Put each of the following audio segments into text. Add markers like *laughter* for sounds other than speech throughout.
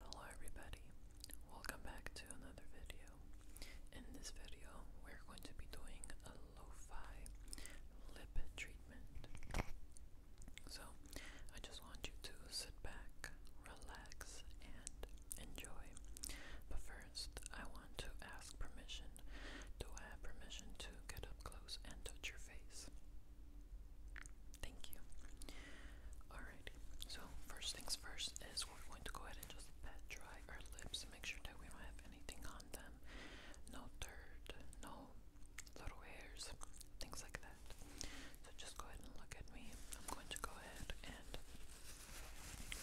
Hello everybody, welcome back to another video. In this video, we're going to be doing a lo lip treatment. So, I just want you to sit back, relax, and enjoy. But first, I want to ask permission. Do I have permission to get up close and touch your face? Thank you. Alright, so first things first is we're going to go ahead and just pat dry our lips and make sure that we don't have anything on them. No dirt, no little hairs, things like that. So just go ahead and look at me. I'm going to go ahead and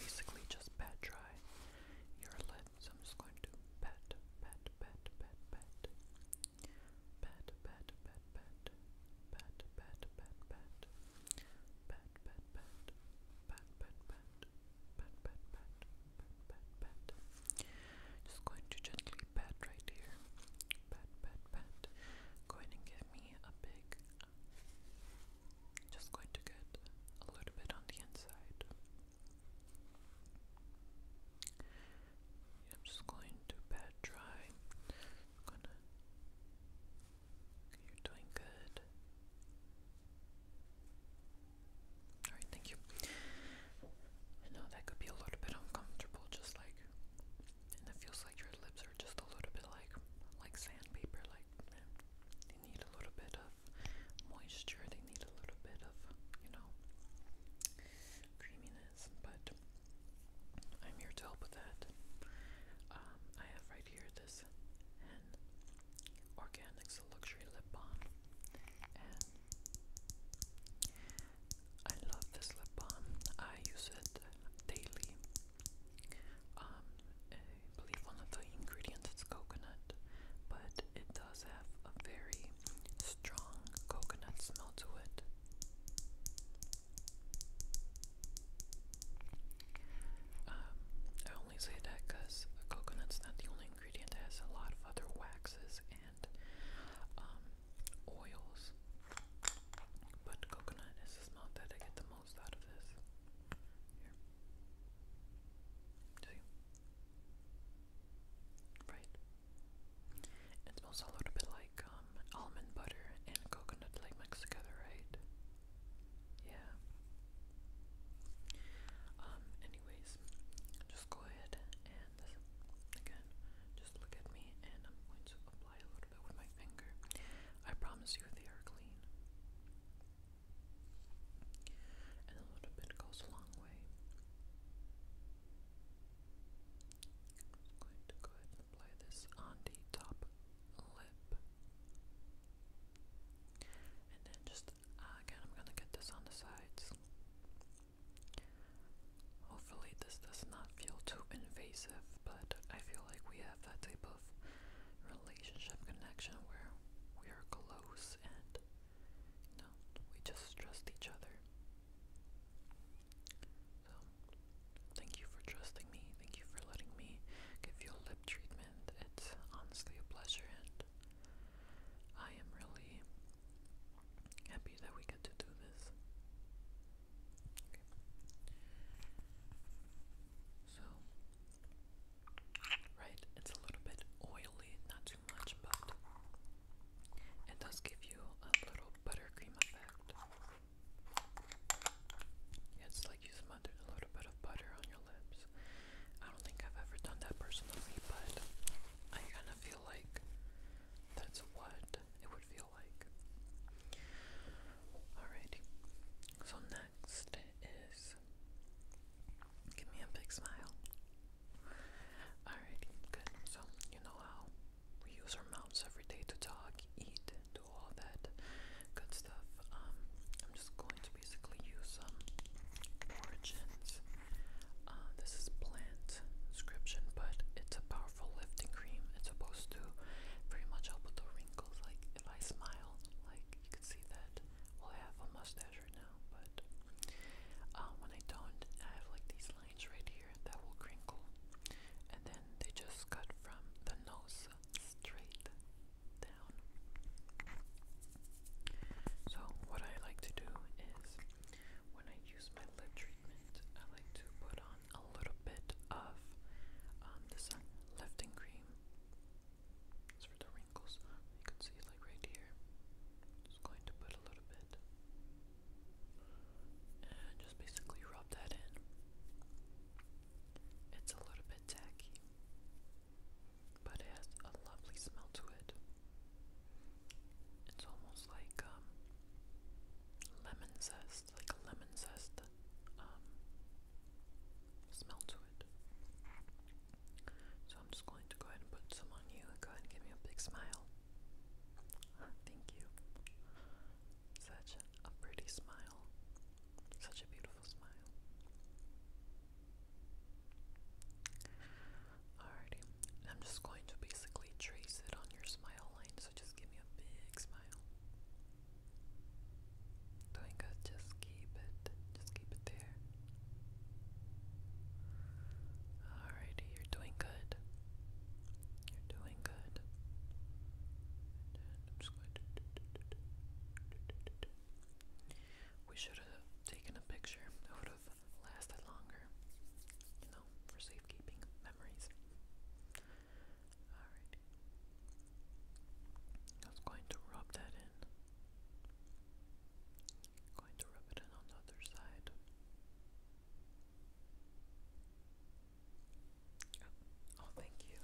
basically just pat dry your lips. I'm just going to pat, pat, pat, pat, pat. Pat, pat, pat, pat pat, pat, pat, pat, pat, pat, pat, pat, pat, pat, pat, pat, pat, pat, pat, pat. Just going to gently pat right here. Pat, pat, pat. Go ahead and get me a big. Just going to get a little bit on the inside. I'm just going to pat dry. You're doing good. Alright, thank you. I know that could be a little bit uncomfortable, just like, and it feels like your lips are just a little bit like, like sandpaper, like they need a little bit of moisture, they need a little bit of, you know, creaminess, but I'm here to help with that. Um, I have right here this Hen Organics Luxury Lip Balm, and I love this lip balm. I use it daily. Um, I believe one of the ingredients is coconut, but it does have a very strong coconut smell to it. Um, I only say that because coconut's not the only ingredient that has a lot of other waxes and um, oils. But coconut is the smell that I get the most out of this. Here. See? Right. It smells a little bit like um, almond butter and coconut like mixed together, right? Yeah. Um, anyways, just go ahead and again, just look at me and I'm going to apply a little bit with my finger. I promise you they are clean. And a little bit goes a long way. I'm going to go ahead Play this on the top lip. And then just uh, again, I'm gonna get this on the sides. Hopefully, this does not feel too invasive, but I feel like we have that type of relationship connection where we are close and you we just trust each other. So, thank you for trusting me. Thank you for letting me give you a lip treatment. It's honestly a pleasure, and I am really happy that we get to do this. So, right, it's a little bit oily, not too much, but it does give you a little buttercream effect. It's like you smothered a little bit of butter on your lips. I don't think I've ever done that personally, but I kind of feel like that's what it would feel like. Alrighty. So next is give me a big smile. Alrighty, good. So you know how we use our mouths every day to talk, eat, do all that good stuff. Um, I'm just going to basically use some um, origins. Uh, this is plant description, but it's a powerful lifting cream. It's supposed to very much help with the wrinkles. Like if I smile, like you can see that. Well, I have a mustache right now, but uh, when I don't, I have like these lines right here that will crinkle, and they just cut from the nose straight down. So what I like to do is when I use my lip treatment, I like to put on a little bit of um, this uh, lifting cream. It's for the wrinkles. You can see like right here. Just going to put a little bit. And just basically rub that in. It's a little bit tacky, but it has a lovely smell to it. It's almost like um, lemon zest, like a lemon zest um, smell to it. So I'm just going to go ahead and put some on you. Go ahead and give me a big smile. *laughs* Thank you. Such a pretty smile. Such a beautiful smile. Alrighty, I'm just going to basically trace it on your smile line, so just give me a big smile. Doing good, just keep it, just keep it there. Alrighty, you're doing good. You're feeling We should have taken a picture. It would have lasted longer. You know, for safekeeping memories. Alright. I was going to rub that in. going to rub it in on the other side. Oh, thank you.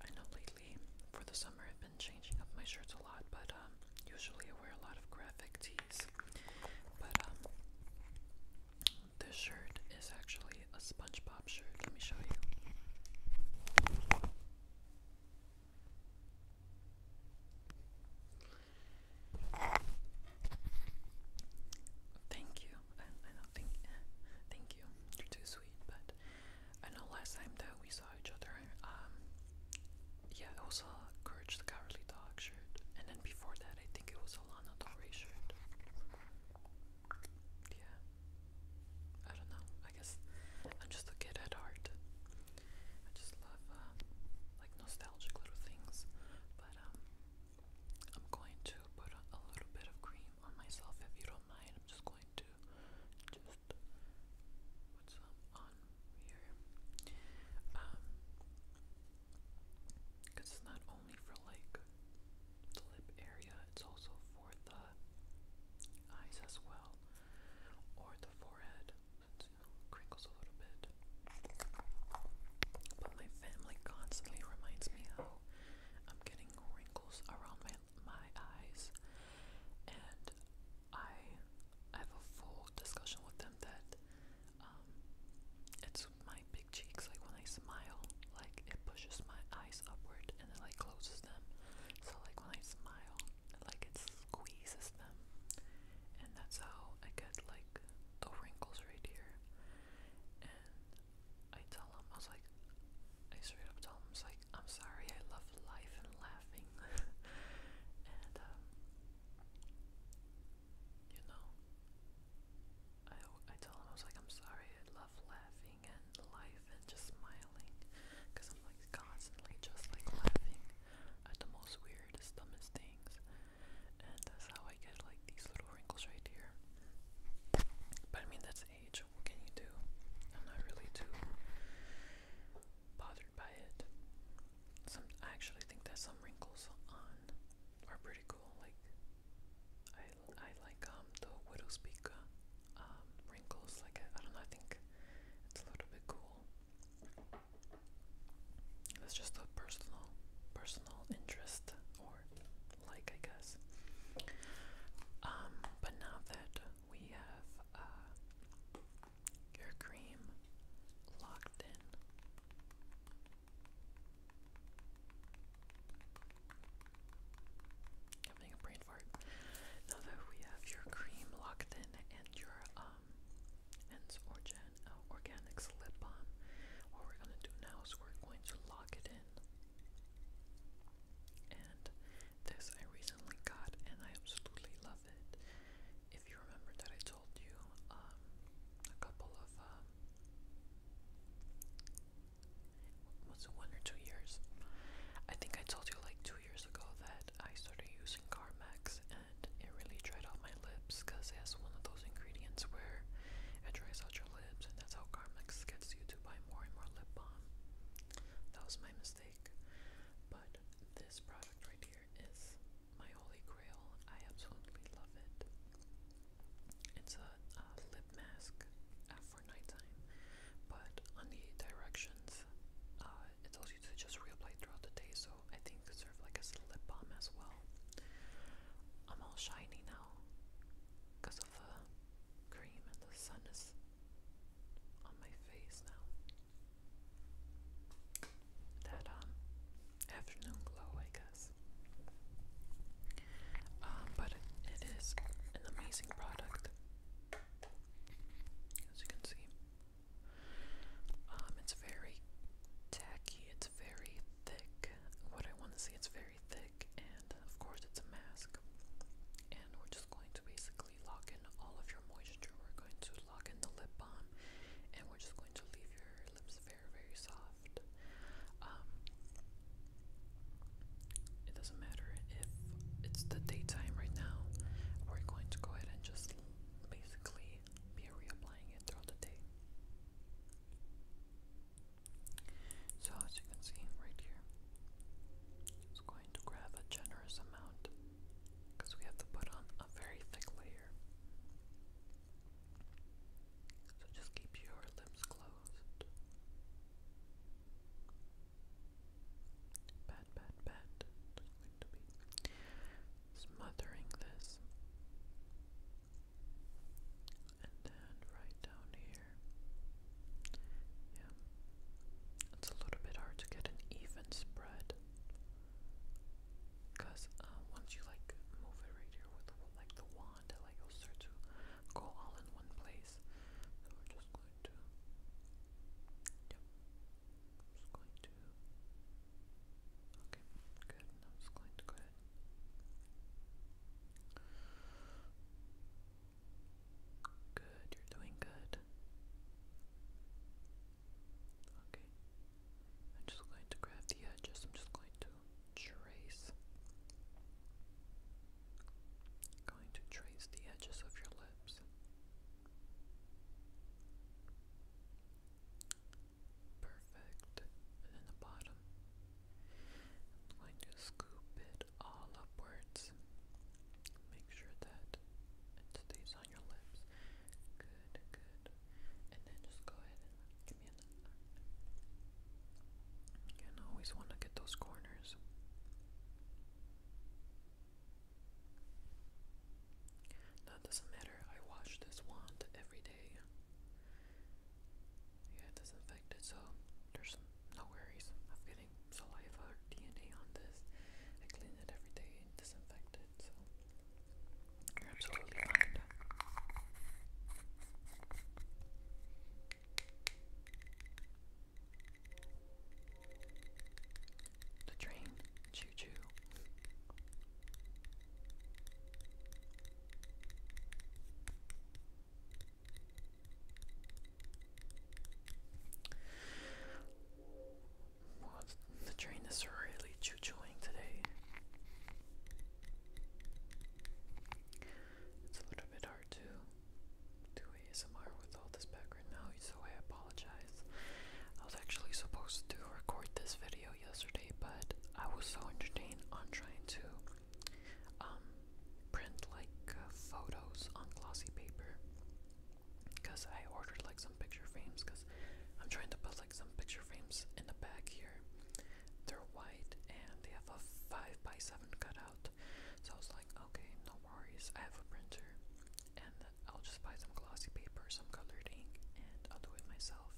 I know lately, for the summer, I've been changing up my shirts a lot, but um, usually I wear a lot of graphic tees. But um, this shirt is actually a SpongeBob shirt. Let me show you. Thank you. I, don't think. Eh, thank you. You're too sweet. But I know last time that we saw each other, um, yeah, it was a Dog shirt, and then before that, I think it was a Lana Del shirt. Yeah. I don't know. I guess I'm just a kid at heart. I just love uh, like nostalgic little things. But um, I'm going to put a, little bit of cream on myself if you don't mind. I'm just going to just put some on here. Um, because it's not only for like the lip area, it's also for the eyes as well, or the forehead. Since, crinkles a little bit. But my family constantly reminds me how I'm getting wrinkles around my my eyes, and I have a full discussion with them that um, it's my big cheeks. Like when I smile, like it pushes my eyes upward and it like closes them. So like when I smile, it, like it squeezes them, and that's how I get like the wrinkles right here. And I tell him, I was like, I straight up told him, I was like, I'm sorry, I love life and laughing. *laughs* and, um, you know, I, I tell him, I was like, I'm sorry, I love laughing and life and just smiling. Because I'm like constantly just like laughing at the most weirdest, dumbest things and that's how I get like these little wrinkles right here. But I mean, that's age. What can you do? I'm not really too bothered by it. Some I actually think that some wrinkles are pretty cool. Like I, I like um the widow's peak uh, um wrinkles. Like I, don't know. I think it's a little bit cool. That's just a personal personal personal interest or like, I guess. Um, but now that we have uh, your cream locked in. Having a brain fart. Now that we have your cream locked in and your um ends or Gen uh, Organics lip balm. What we're going to do now is we're going to lock it in. And this I recently got and I absolutely love it. If you remember that I told you um, a couple of, um, was it one or two years? I think I told you like two years ago that I started using CarMax and it really dried out my lips because it has one of those ingredients where it dries out your lips, and that's how Carmex gets you to buy more and more lip balm. That was my mistake. But this product right here is my holy grail. I absolutely love it. It's a, lip mask for nighttime, but on the directions, uh, it tells you to just reapply throughout the day, so I think it could serve like a lip balm as well. I'm all shiny now because of the cream and the sun is on my face now. That um afternoon glow, I guess. Um, but it is an amazing product, as you can see. Um, it's very tacky. It's very thick. What I want to see, it's very thick, and of course, it's a mask. And we're just going to basically lock in all of your moisture. We're going to lock in the lip balm, and we're just going to leave your lips very, very soft. Um, it doesn't matter if it's the daytime right now. We're going to go ahead and just basically be reapplying it throughout the day. So as you can see right here, it's going to grab a generous amount because we have to put on a very thick layer. So just keep your lips closed. Pat, pat, pat. Just going to be smothering this. And then right down here. Yeah. It's a little bit hard to get an even spread. Cause uh, once you like move it right here with like the wand, it like will start to go all in one place. So we're just going to. Yep. just going to. Okay, good. And just going to go Good, you're doing good. Okay. I'm just going to grab the edges. I'm just going to trace. Going to trace the edges of your lips perfect. And then the bottom. I'm going to scoop it all upwards. Make sure that it stays on your lips. Good, good. And then just go ahead and give me another. And I always want to get those corners. Now doesn't matter, I wash this wand every day. Yeah, disinfected, so there's no worries of getting saliva or DNA on this. I clean it every day and disinfect it, so you're absolutely fine. The train, choo choo. The train is really choo-chooing today. It's a little bit hard to do ASMR with all this background noise, so I apologize. I was actually supposed to record this video yesterday, but I was so entertained on trying to um, print like uh, photos on glossy paper because I ordered like some picture frames because I'm trying to put like some picture frames in the back here. They're white and they have a 5 by 7 cutout. So I was like, okay, no worries. I have a printer and I'll just buy some glossy paper, some colored ink, and I'll do it myself.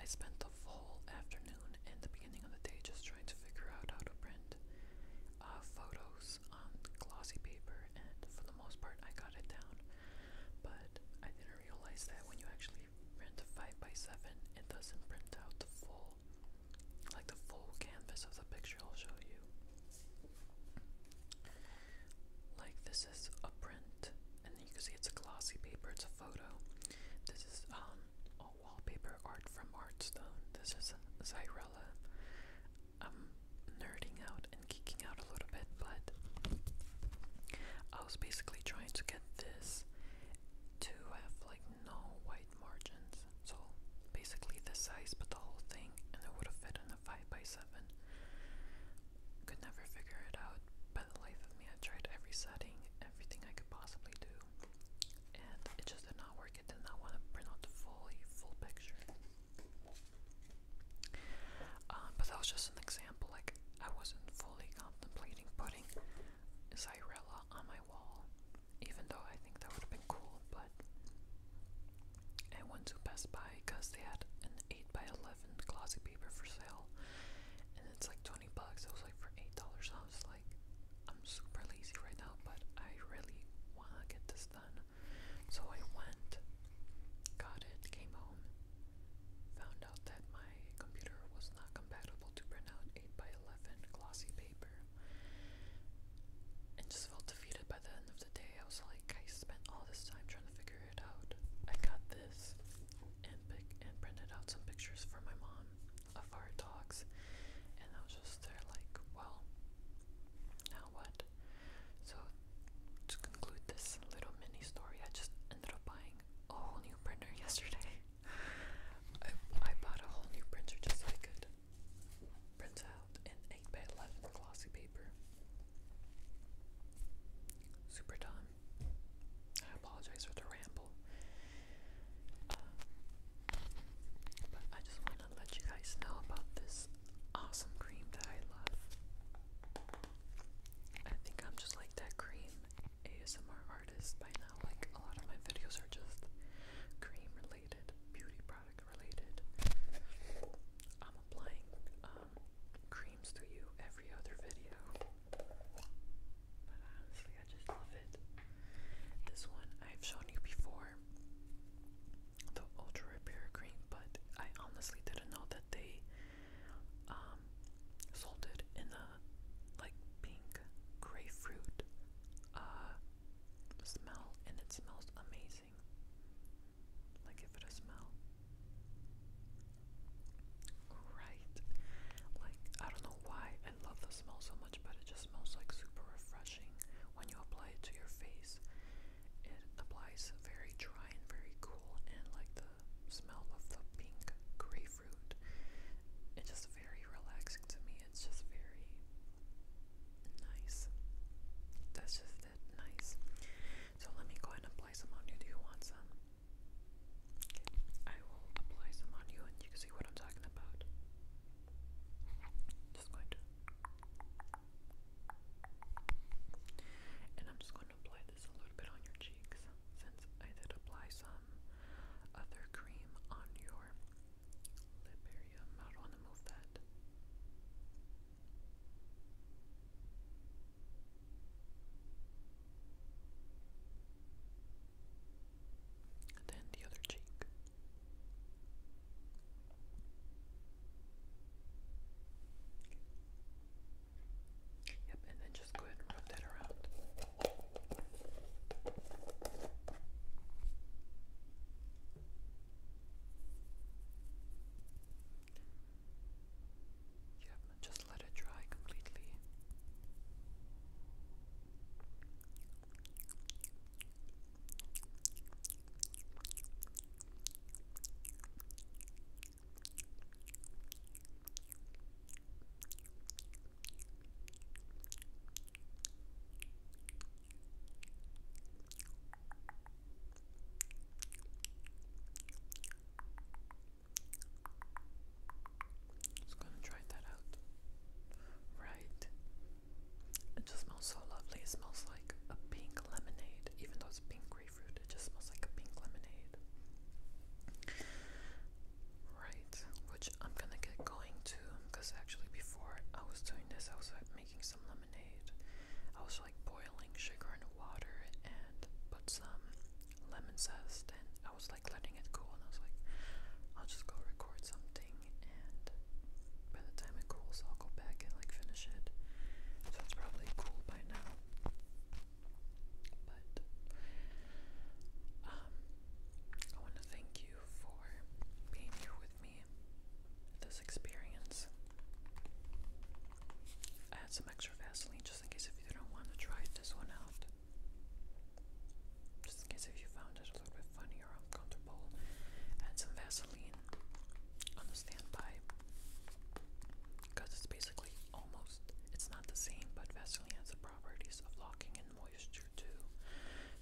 I spent full afternoon and the beginning of the day just trying to figure out how to print uh, photos on glossy paper, and for the most part, I got it down. But I didn't realize that when you actually print a 5x7, it doesn't print out the full, like the full canvas of the picture. I'll show you. Like, this this is a print, and you can see it's a glossy paper. It's a photo. This is um, a wallpaper art from Artstone. This is Zyrella. I'm um, nerding out and geeking out a little bit, but I was basically trying to get this to have like no white margins. So basically the size, but the whole thing, and it would have fit in a 5 by 7 could never figure it out. By the life of me, I tried every setting, everything I could possibly do, and it just did not work. It did not want to print out the full, full picture. Um, but that was just an example. Like I wasn't fully contemplating putting Zyrella on my wall, even though I think that would have been cool. But I went to Best Buy because they had an 8 by 11 glossy paper for sale, and it's like 20 bucks. It was like for $8. I was like, I'm super lazy right now, but I really wanna get this done. So I went, got it, came home, found out that my computer was not compatible to print out 8x11 glossy paper. And just felt defeated by the end of the day. I was like, I spent all this time trying to figure it out. I got this and printed out some pictures for my mom of our dogs, and I was just there like, well, now what? So to conclude this little mini story, I just ended up buying a whole new printer *laughs* yesterday. I, I bought a whole new printer just so I could print out an 8 by 11 glossy paper. Super dumb. I apologize for the ramble. Um, but I just want to let you guys know about this awesome cream that I love. I think I'm just like that cream ASMR artist by now. Like, a lot of my videos are just cream related, beauty product related. I'm applying um, to you every other video. But honestly, I just love it. This one I've shown you before, the Ultra Repair Cream, but I honestly didn't know that they um, sold it in the like pink grapefruit uh, smell, and it smells amazing. Like, give it a smell. Right. Like, I don't know why I love the smell so much, but it just smells like super refreshing when you apply it to your face. It applies very dry and very cool, and like the smell of the pink grapefruit. It's just very relaxing to me. It's just very nice. That's just it. Nice. So let me go ahead and apply some on you. Do you want some? I will apply some on you and you can see what I'm talking about. Just going to. And I'm just going to apply this a little bit on your cheeks since I did apply some other cream on your lip area. I don't want to move that. And then the other cheek. Yep, and then just go ahead and rub that around just let it dry completely. Just gonna try that out. Right. It just smells so lovely. It smells like a pink lemonade. Even though it's pink grapefruit, it just smells like a pink lemonade. Right, which I'm gonna get going to because actually before I was doing this I was like, making some lemonade. I was like boiling sugar and water and put some lemon zest and I was like letting it cool and I was like I'll just go record something and by the time it cools I'll go back and like finish it. So it's probably cool by now. But um I wanna thank you for being here with me this experience. I had some extra Vaseline just in case if you didn't want to try this one out. Just in case if you found it a little bit funny or uncomfortable. Add some Vaseline on the standby. Because it's basically almost, it's not the same, but Vaseline has the properties of locking in moisture too.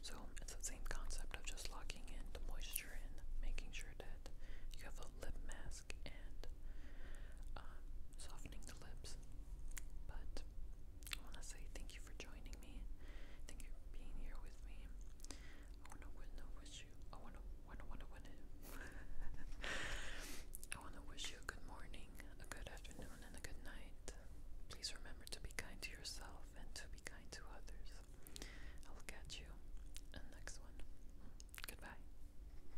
So it's the same concept of just locking in the moisture and making sure that you have a lip mask and um, softening the lips. But I want to say thank you for joining me. Thank you for being here with me. I want to wish you. I want to. Want to. Want Want *laughs* to. I want to wish you a good morning, a good afternoon, and a good night. Please remember to be kind to yourself and to be kind to others. I'll catch you in the next one. Goodbye.